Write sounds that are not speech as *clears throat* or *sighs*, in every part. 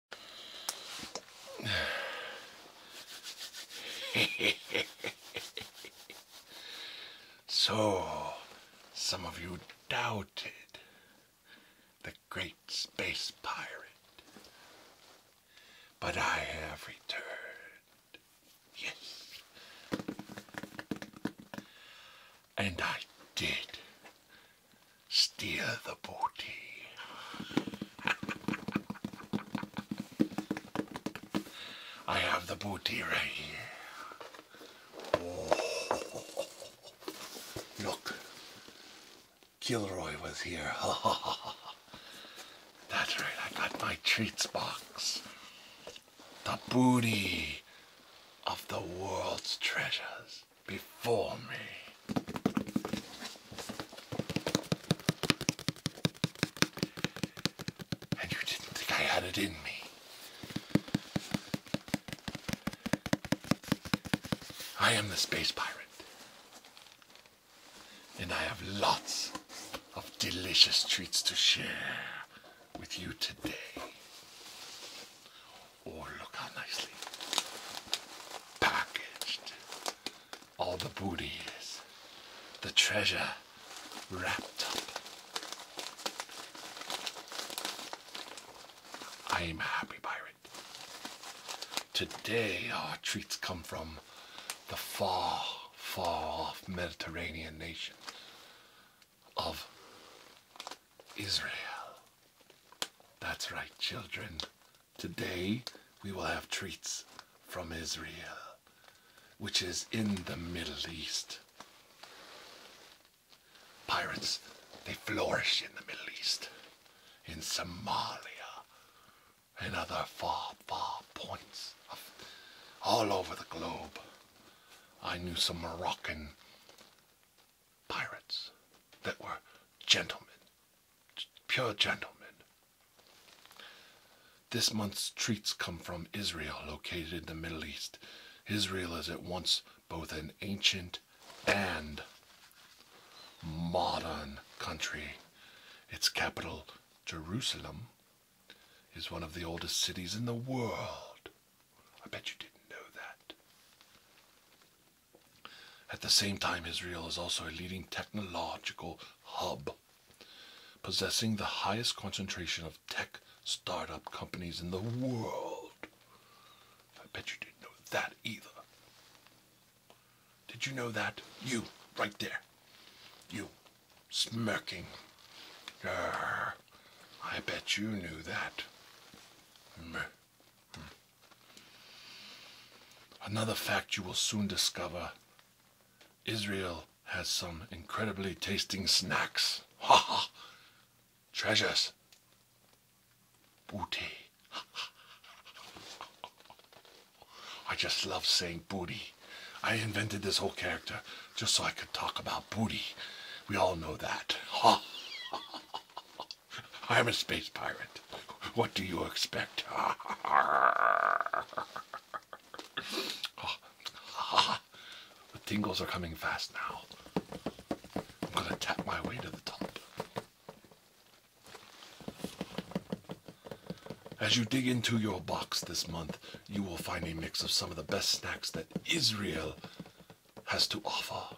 *sighs* so, some of you doubted the great space pirate, but I have returned. Yes. And I did steer the booty. I have the booty right here. Look, Kilroy was here. *laughs* That's right, I got my treats box. The booty of the world's treasures before me. And you didn't think I had it in me. I am the space pirate. And I have lots of delicious treats to share with you today. Oh, look how nicely packaged all the booty is. The treasure wrapped up. I am a happy pirate. Today our treats come from the far, far off Mediterranean nation of Israel. That's right, children. Today we will have treats from Israel, which is in the Middle East. Pirates, they flourish in the Middle East, in Somalia, and other far, far points all over the globe. I knew some Moroccan pirates that were gentlemen, pure gentlemen. This month's treats come from Israel, located in the Middle East. Israel is at once both an ancient and modern country. Its capital, Jerusalem, is one of the oldest cities in the world. I bet you didn't know that. At the same time, Israel is also a leading technological hub, possessing the highest concentration of tech startup companies in the world. I bet you didn't know that either. Did you know that? You, right there. You, smirking. Arr, I bet you knew that. Hmm. Another fact you will soon discover Israel has some incredibly tasting snacks. Ha ha! Treasures. Booty. *laughs* I just love saying booty. I invented this whole character just so I could talk about booty. We all know that. Ha! *laughs* *laughs* I'm a space pirate. What do you expect? *laughs* the tingles are coming fast now. I'm gonna tap my way to the top. As you dig into your box this month, you will find a mix of some of the best snacks that Israel has to offer.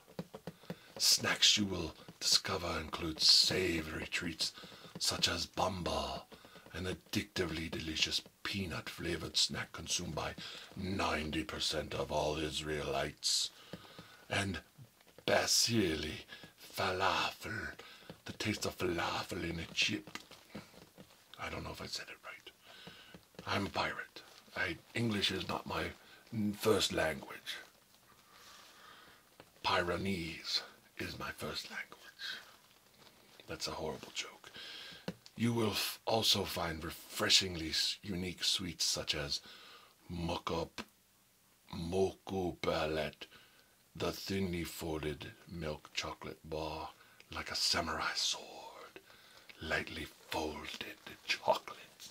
Snacks you will discover includes savory treats such as bamba, an addictively delicious peanut flavored snack consumed by 90% of all Israelites, and basili, falafel, the taste of falafel in a chip. I don't know if I said it right. I'm a pirate. I, English is not my first language. Pyrenees is my first language. That's a horrible joke. You will also find refreshingly unique sweets such as mukup, moku the thinly folded milk chocolate bar like a samurai sword, lightly folded chocolate,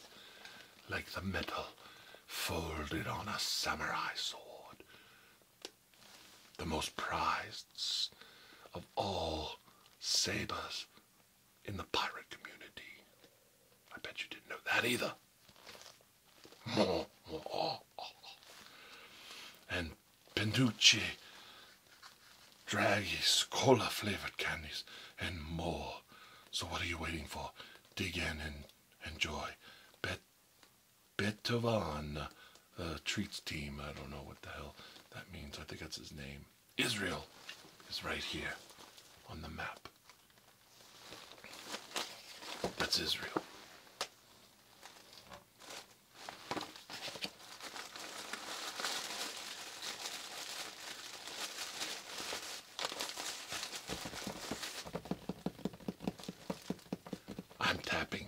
like the metal folded on a samurai sword. The most prized of all sabers in the pirate community. I bet you didn't know that either. And Penducci, draggies, cola flavored candies, and more. So what are you waiting for? dig in and enjoy. Bet Betovan, uh, uh, treats team. I don't know what the hell that means. I think that's his name. Israel is right here on the map. That's Israel. I'm tapping.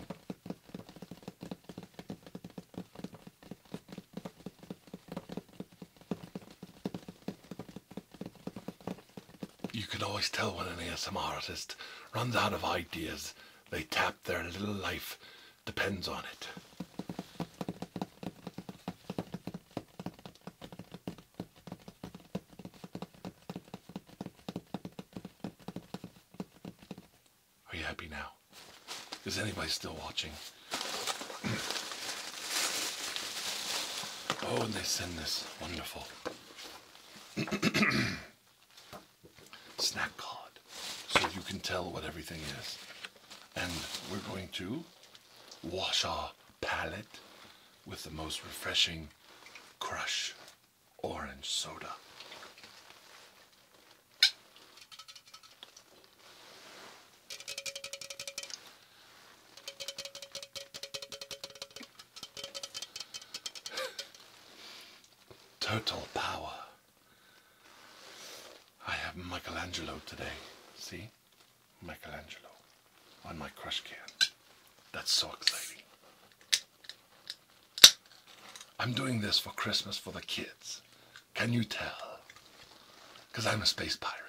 You can always tell when an ASMR artist runs out of ideas. They tap their little life depends on it. Are you happy now? Is anybody still watching? oh, and they send this wonderful *clears throat* snack card so you can tell what everything is. And we're going to wash our palate with the most refreshing crush orange soda. Total power. I have Michelangelo today, see? Michelangelo on my crush can. That's so exciting. I'm doing this for Christmas for the kids. Can you tell? Because I'm a space pirate.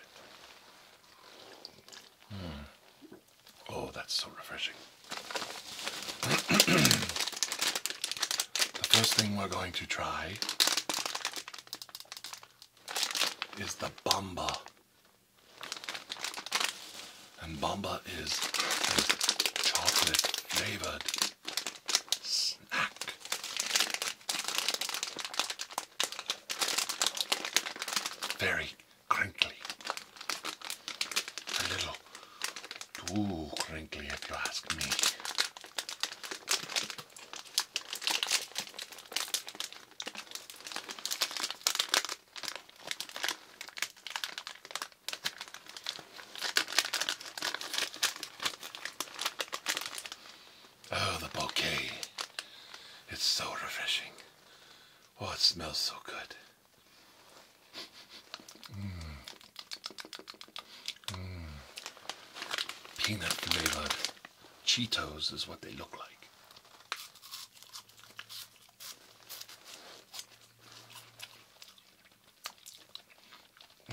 Hmm. Oh, that's so refreshing. the first thing we're going to try is the Bomba and Bamba is a chocolate flavored snack. Very crinkly. A little too crinkly, if you ask me. Oh, the bouquet. It's so refreshing. Oh, it smells so good. Mm. Peanut flavored. Cheetos is what they look like.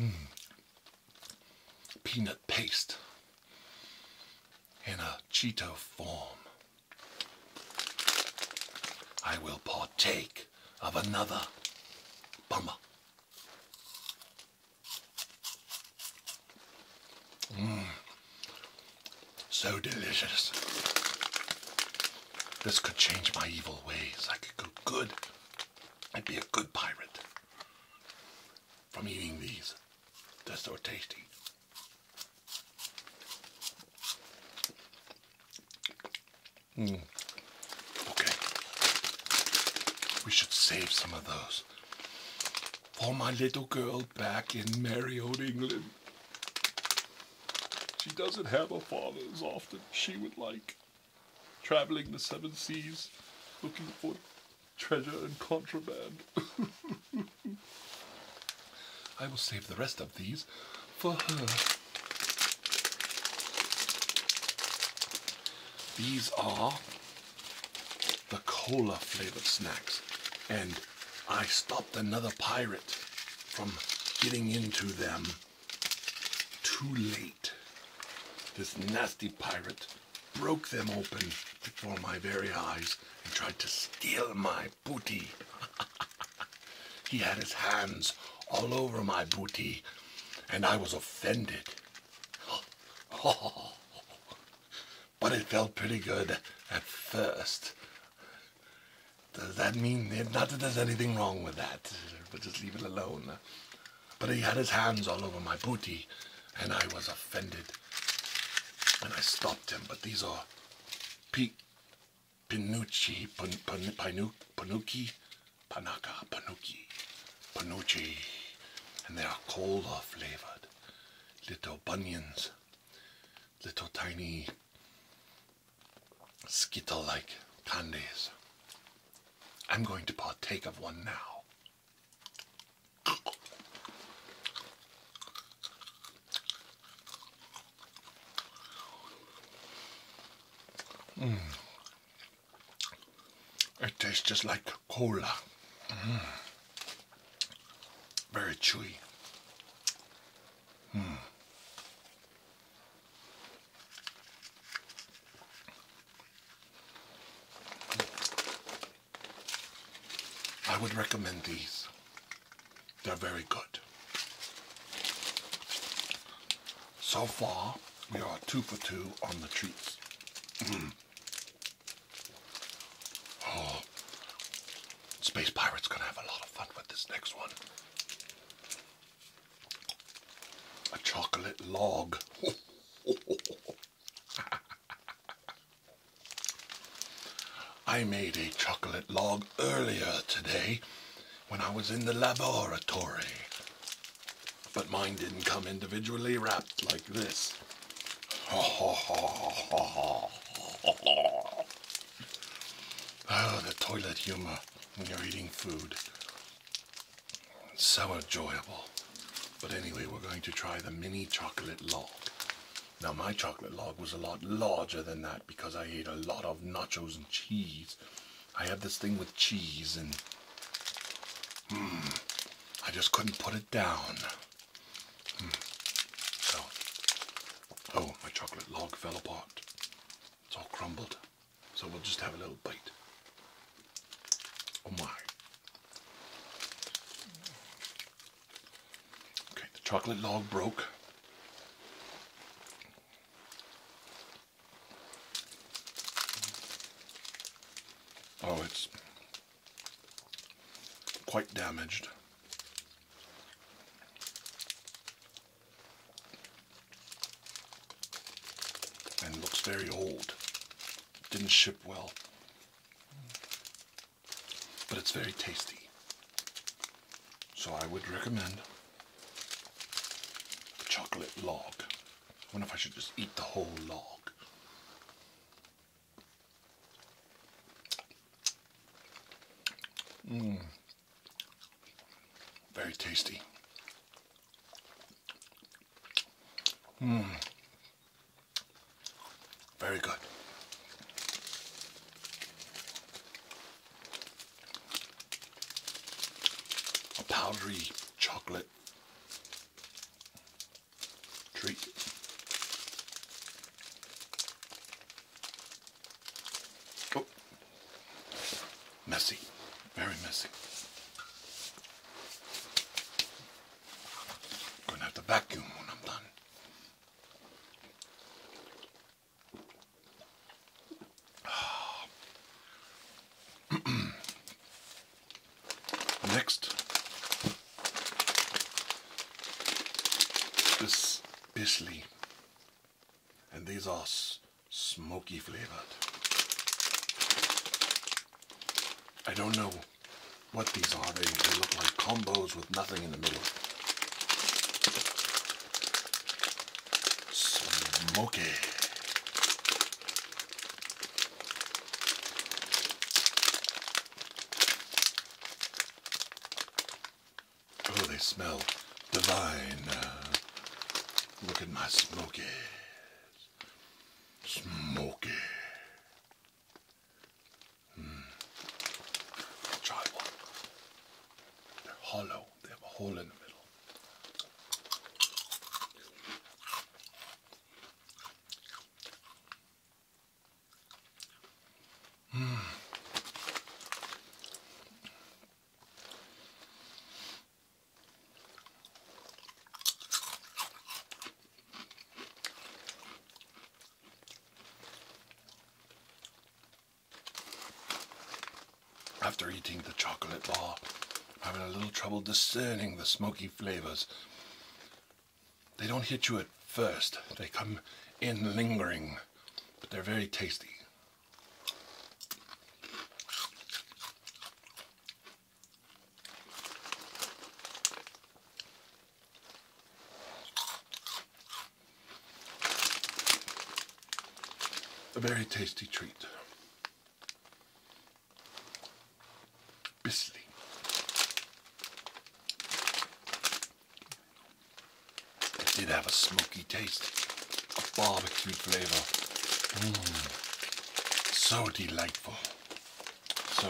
Mm. Peanut paste in a Cheeto form. I will partake of another bummer. Mm. So delicious. This could change my evil ways. I could go good. I'd be a good pirate from eating these. They're so tasty. Mm. Okay. We should save some of those for my little girl back in merry old England. She doesn't have her father as often she would like. Traveling the seven seas, looking for treasure and contraband. *laughs* I will save the rest of these for her. These are the cola flavored snacks. And I stopped another pirate from getting into them too late. This nasty pirate broke them open before my very eyes and tried to steal my booty. *laughs* he had his hands all over my booty, and I was offended. *laughs* Oh but it felt pretty good at first. Does that mean it? Not that there's anything wrong with that, but just leave it alone. But he had his hands all over my booty, and I was offended. And I stopped him, but these are P Pinucci, Pin Pin Pinu Panaka, Panucci, Panucci, and they are cola flavored little bunions, little tiny skittle like candies. I'm going to partake of one now. Mm. It tastes just like cola. Very chewy. Hmm. I would recommend these. They're very good. So far, we are two for two on the treats. Hmm. Oh, Space Pirate's gonna have a lot of fun with this next one. A chocolate log. *laughs* I made a chocolate log earlier today when I was in the laboratory. But mine didn't come individually wrapped like this. *laughs* oh, the toilet humor when you're eating food. It's so enjoyable. But anyway, we're going to try the mini chocolate log. Now, my chocolate log was a lot larger than that because I ate a lot of nachos and cheese. I had this thing with cheese and... Mm, I just couldn't put it down. Hmm. oh, my chocolate log fell apart. It's all crumbled. So we'll just have a little bite. Oh my. Okay, the chocolate log broke. Oh, it's quite damaged. And looks very old. Didn't ship well. But it's very tasty. So I would recommend the chocolate log. I wonder if I should just eat the whole log. Mmm. Very tasty. Mmm. Very good. A powdery chocolate treat. Oh, messy, very messy. Gonna have to vacuum when I'm done. Next is Bisley, and these are smoky flavored. I don't know what these are, they, they look like combos with nothing in the middle. Smoky. Oh, they smell divine. Uh, look at my smokies. smokies. Mm. Try one. They're hollow. They have a hole in the middle. *sighs* After eating the chocolate bar, I'm having a little trouble discerning the smoky flavors. They don't hit you at first. They come in lingering, but they're very tasty. A very tasty treat. Bisley. It did have a smoky taste, a barbecue flavor. Mm. So delightful. So,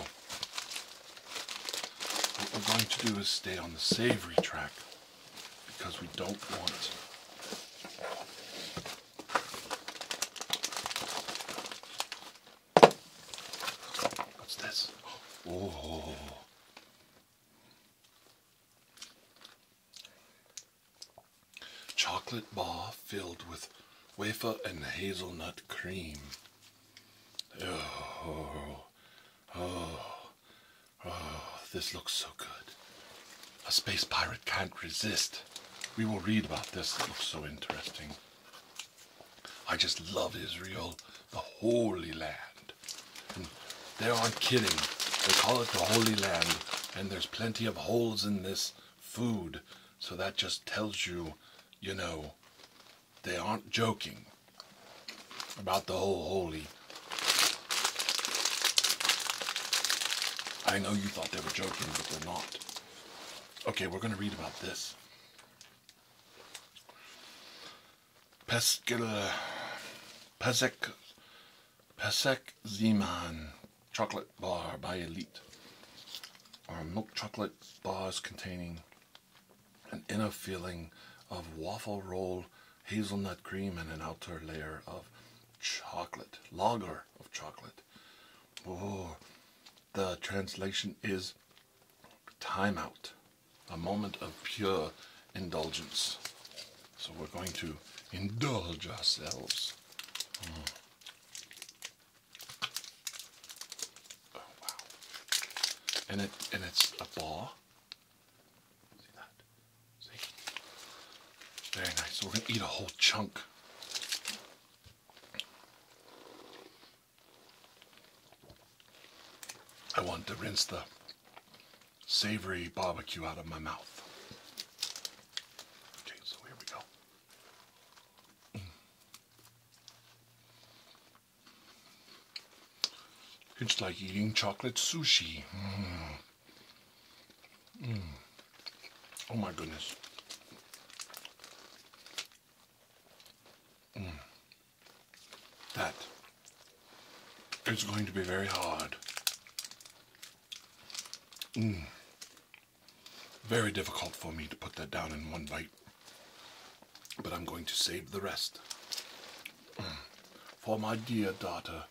what we're going to do is stay on the savory track because we don't want What's this? Oh. Chocolate bar filled with wafer and hazelnut cream. Oh, oh, oh, this looks so good. A space pirate can't resist. We will read about this. It looks so interesting. I just love Israel, the Holy Land. And they aren't kidding. They call it the Holy Land, and there's plenty of holes in this food. So that just tells you, you know, they aren't joking about the whole holy. I know you thought they were joking, but they're not. Okay, we're going to read about this. Pascal Pasek Pasek Zeman chocolate bar by Elite are milk chocolate bars containing an inner filling of waffle roll hazelnut cream and an outer layer of chocolate lager of chocolate. Oh, the translation is time out, a moment of pure indulgence. So we're going to indulge ourselves. Hmm. Oh, and, it, and it's a ball. Very nice. So we're going to eat a whole chunk. I want to rinse the savory barbecue out of my mouth. Okay, so here we go. Mm. It's like eating chocolate sushi. Mm. Mm. Oh my goodness. Mm. That is going to be very hard. Mm. Very difficult for me to put that down in one bite. But I'm going to save the rest mm. for my dear daughter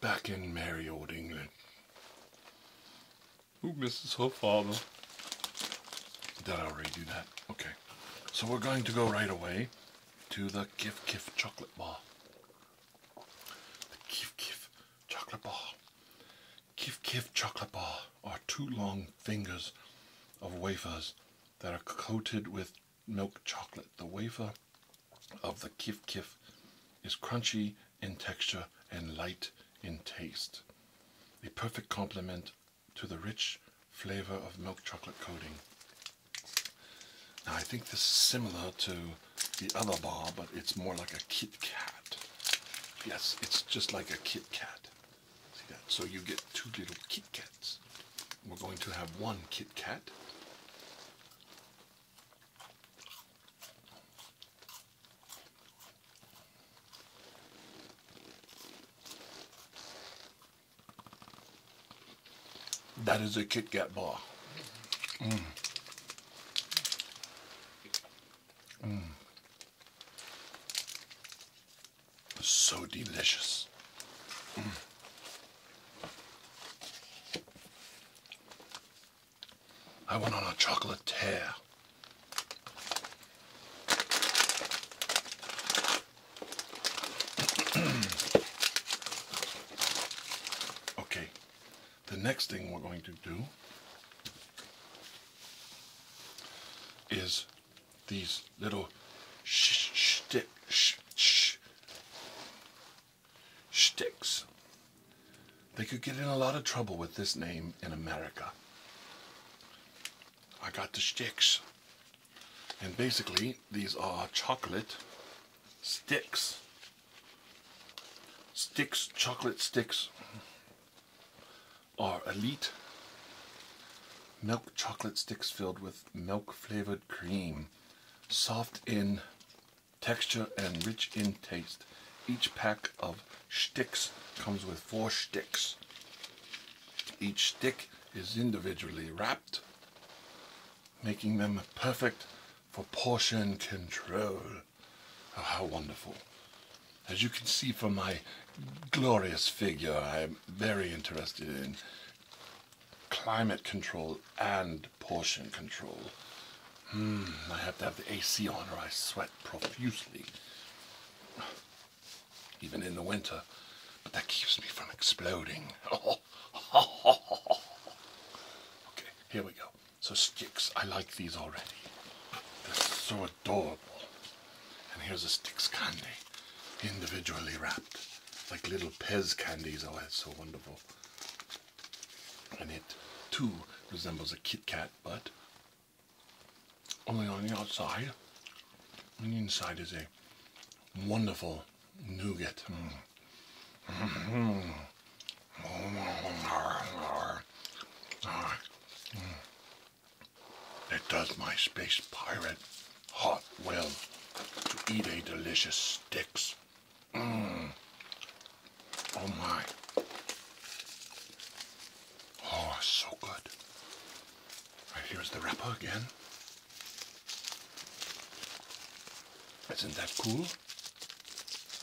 back in merry old England. Who misses her father? Did I already do that? Okay. So we're going to go right away to the Kif Kif chocolate bar. The Kif Kif chocolate bar. Kif Kif chocolate bar are two long fingers of wafers that are coated with milk chocolate. The wafer of the Kif Kif is crunchy in texture and light in taste. A perfect complement to the rich flavor of milk chocolate coating. Now I think this is similar to the other bar, but it's more like a Kit Kat. Yes, it's just like a Kit Kat. See that? So you get two little Kit Kats. We're going to have one Kit Kat. That is a Kit Kat bar. Mm. Mm. So delicious. Mm. I went on a chocolate tear. *clears throat* okay, the next thing we're going to do is these little sh shtick They could get in a lot of trouble with this name in America. I got the sticks. And basically, these are chocolate sticks. Sticks, chocolate sticks, are elite milk chocolate sticks filled with milk flavored cream. Soft in texture and rich in taste. Each pack of sticks, comes with four sticks. Each stick is individually wrapped, making them perfect for portion control. Oh, how wonderful. As you can see from my glorious figure, I'm very interested in climate control and portion control. Hmm, I have to have the AC on or I sweat profusely even in the winter, but that keeps me from exploding. *laughs* okay, here we go. So sticks, I like these already. They're so adorable. And here's a sticks candy, individually wrapped, like little Pez candies. Oh, that's so wonderful. And it too resembles a Kit Kat, but only on the outside. and inside is a wonderful nougat. It does my space pirate hot well to eat a delicious sticks. Mm. Oh my. Oh, so good. Right here's the wrapper again. Isn't that cool?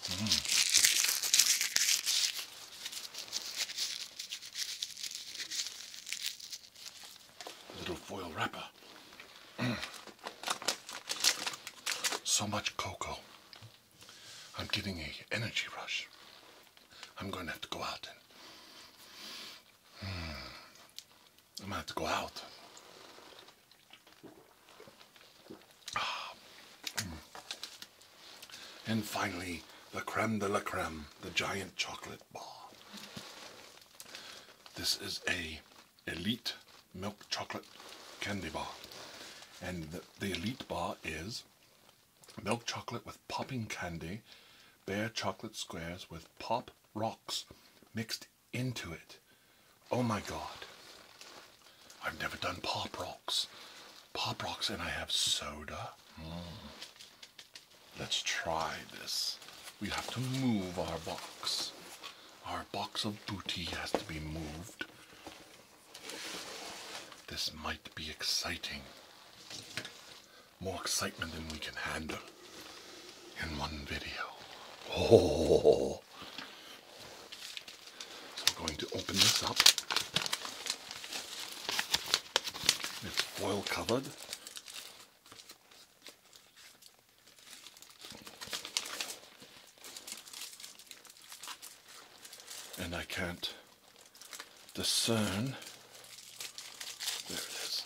Mm. Little foil wrapper. Mm. so much cocoa. I'm getting a energy rush. I'm going to have to go out and. Hmm. I'm going to have to go out. Ah. And finally, the creme de la creme, the giant chocolate bar. This is a elite milk chocolate candy bar. And the elite bar is milk chocolate with popping candy, bare chocolate squares with pop rocks mixed into it. Oh my god. I've never done pop rocks. Pop rocks and I have soda. Hmm. Let's try this. We have to move our box. Our box of booty has to be moved. This might be exciting. More excitement than we can handle in one video. Oh. So I'm going to open this up. It's foil covered. And I can't discern. There it is.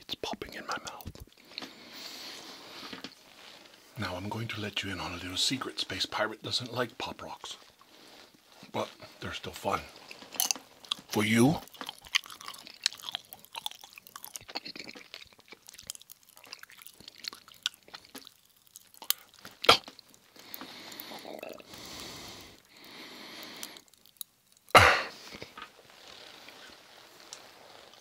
It's popping in my mouth. Now I'm going to let you in on a little secret. Space Pirate doesn't like Pop Rocks. But they're still fun. For you,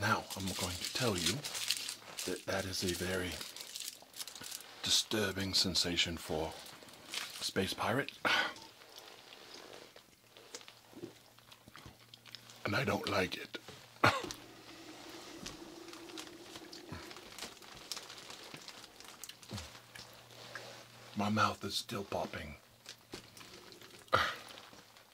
Now, I'm going to tell you that that is a very disturbing sensation for a Space Pirate. And I don't like it. My mouth is still popping.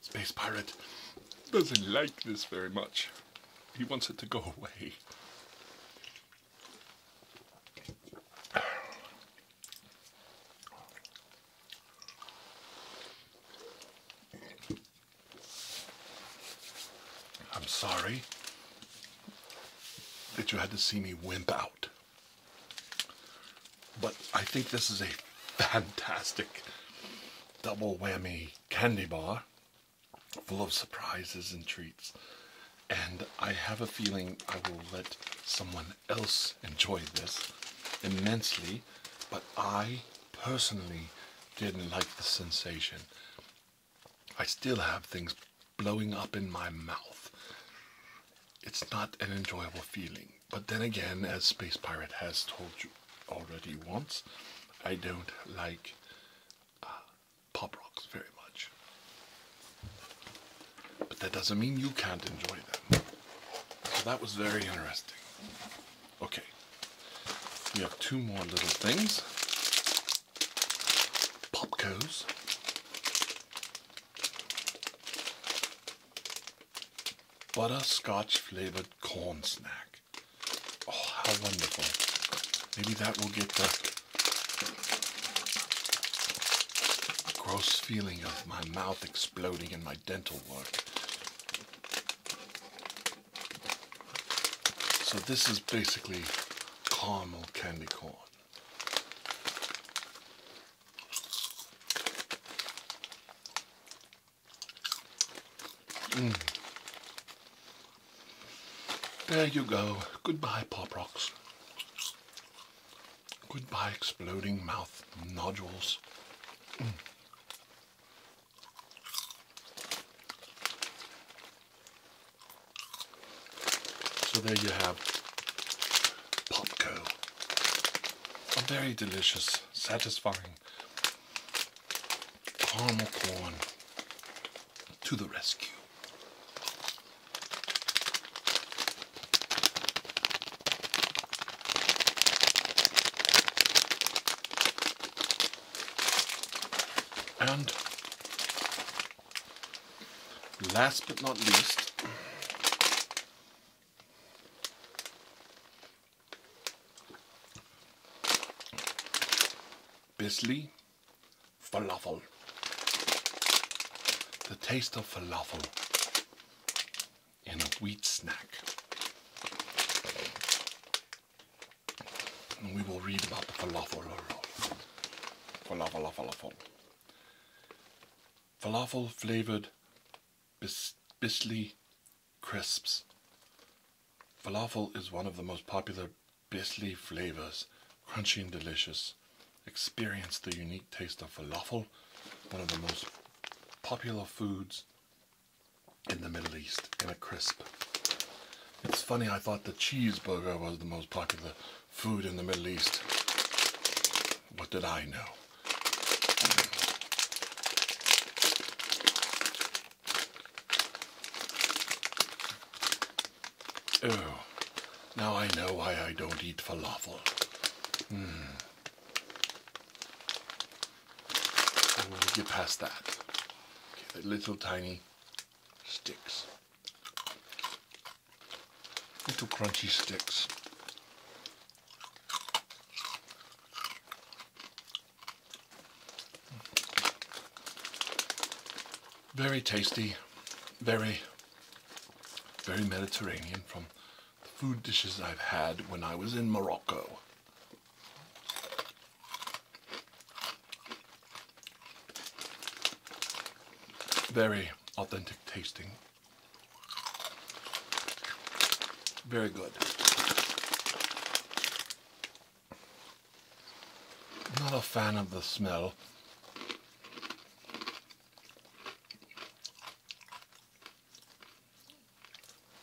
Space Pirate doesn't like this very much. He wants it to go away. I'm sorry that you had to see me wimp out. But I think this is a fantastic double whammy candy bar full of surprises and treats. And I have a feeling I will let someone else enjoy this immensely, but I personally didn't like the sensation. I still have things blowing up in my mouth. It's not an enjoyable feeling but then again, as Space Pirate has told you already once, I don't like uh, pop rocks very much. But that doesn't mean you can't enjoy them. So that was very interesting. Okay, we have two more little things. Popco's. Butterscotch flavored corn snack. Oh, how wonderful. Maybe that will get the gross feeling of my mouth exploding in my dental work. So this is basically caramel candy corn. Mm. There you go. Goodbye, Pop Rocks. Goodbye, exploding mouth nodules. Mm. So there you have Popco a very delicious, satisfying. Caramel corn to the rescue. And last but not least, Bisley falafel. The taste of falafel in a wheat snack. And we will read about the falafel. Falafel, falafel. Falafel flavored bis Bisley crisps. Falafel is one of the most popular Bisley flavors, crunchy and delicious. Experience the unique taste of falafel, one of the most popular foods in the Middle East, in a crisp. It's funny, I thought the cheeseburger was the most popular food in the Middle East. What did I know? Oh, now I know why I don't eat falafel. Mm. I will get past that. little tiny sticks. Little crunchy sticks. Very tasty, very, very Mediterranean from the food dishes I've had when I was in Morocco. Very authentic tasting. Very good. Not a fan of the smell.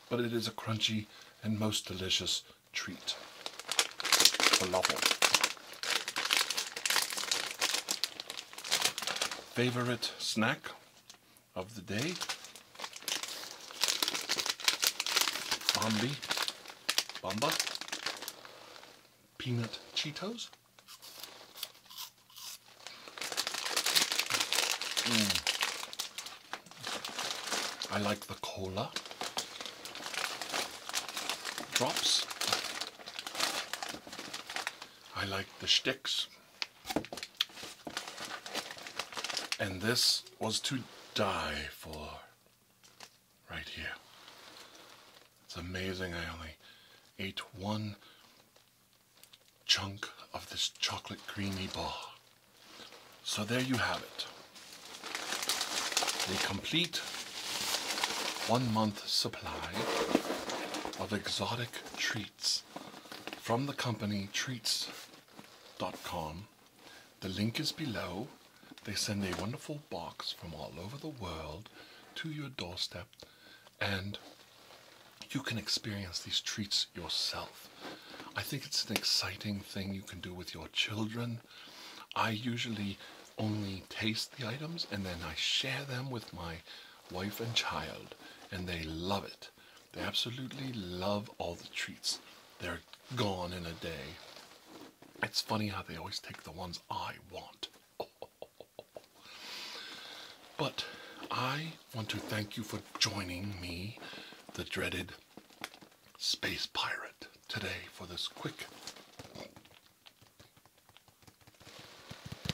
But it is a crunchy and most delicious treat. Falafel. Favorite snack? of the day. Bambi, Bomba, Peanut Cheetos. Mm. I like the cola drops. I like the sticks. And this was to die for right here. It's amazing I only ate one chunk of this chocolate creamy bar. So there you have it. a complete one month supply of exotic treats from the company treats.com. The link is below. They send a wonderful box from all over the world to your doorstep, and you can experience these treats yourself. I think it's an exciting thing you can do with your children. I usually only taste the items and then I share them with my wife and child, and they love it. They absolutely love all the treats. They're gone in a day. It's funny how they always take the ones I want. *laughs* but I want to thank you for joining me, the dreaded space pirate, today for this quick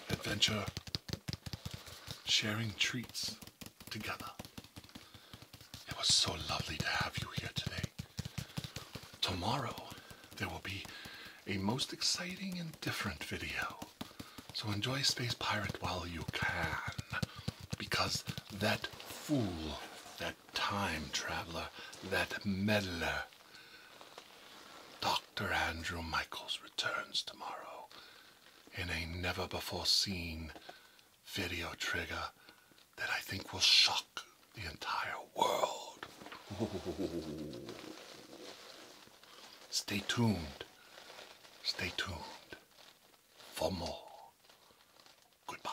adventure sharing treats together. It was so lovely to have you here today. Tomorrow, there will be a most exciting and different video. So enjoy Space Pirate while you can, because that fool, that time traveler, that meddler, Dr. Andrew Michaels returns tomorrow in a never before seen video trigger that I think will shock the entire world. *laughs* Stay tuned. Stay tuned for more. Goodbye.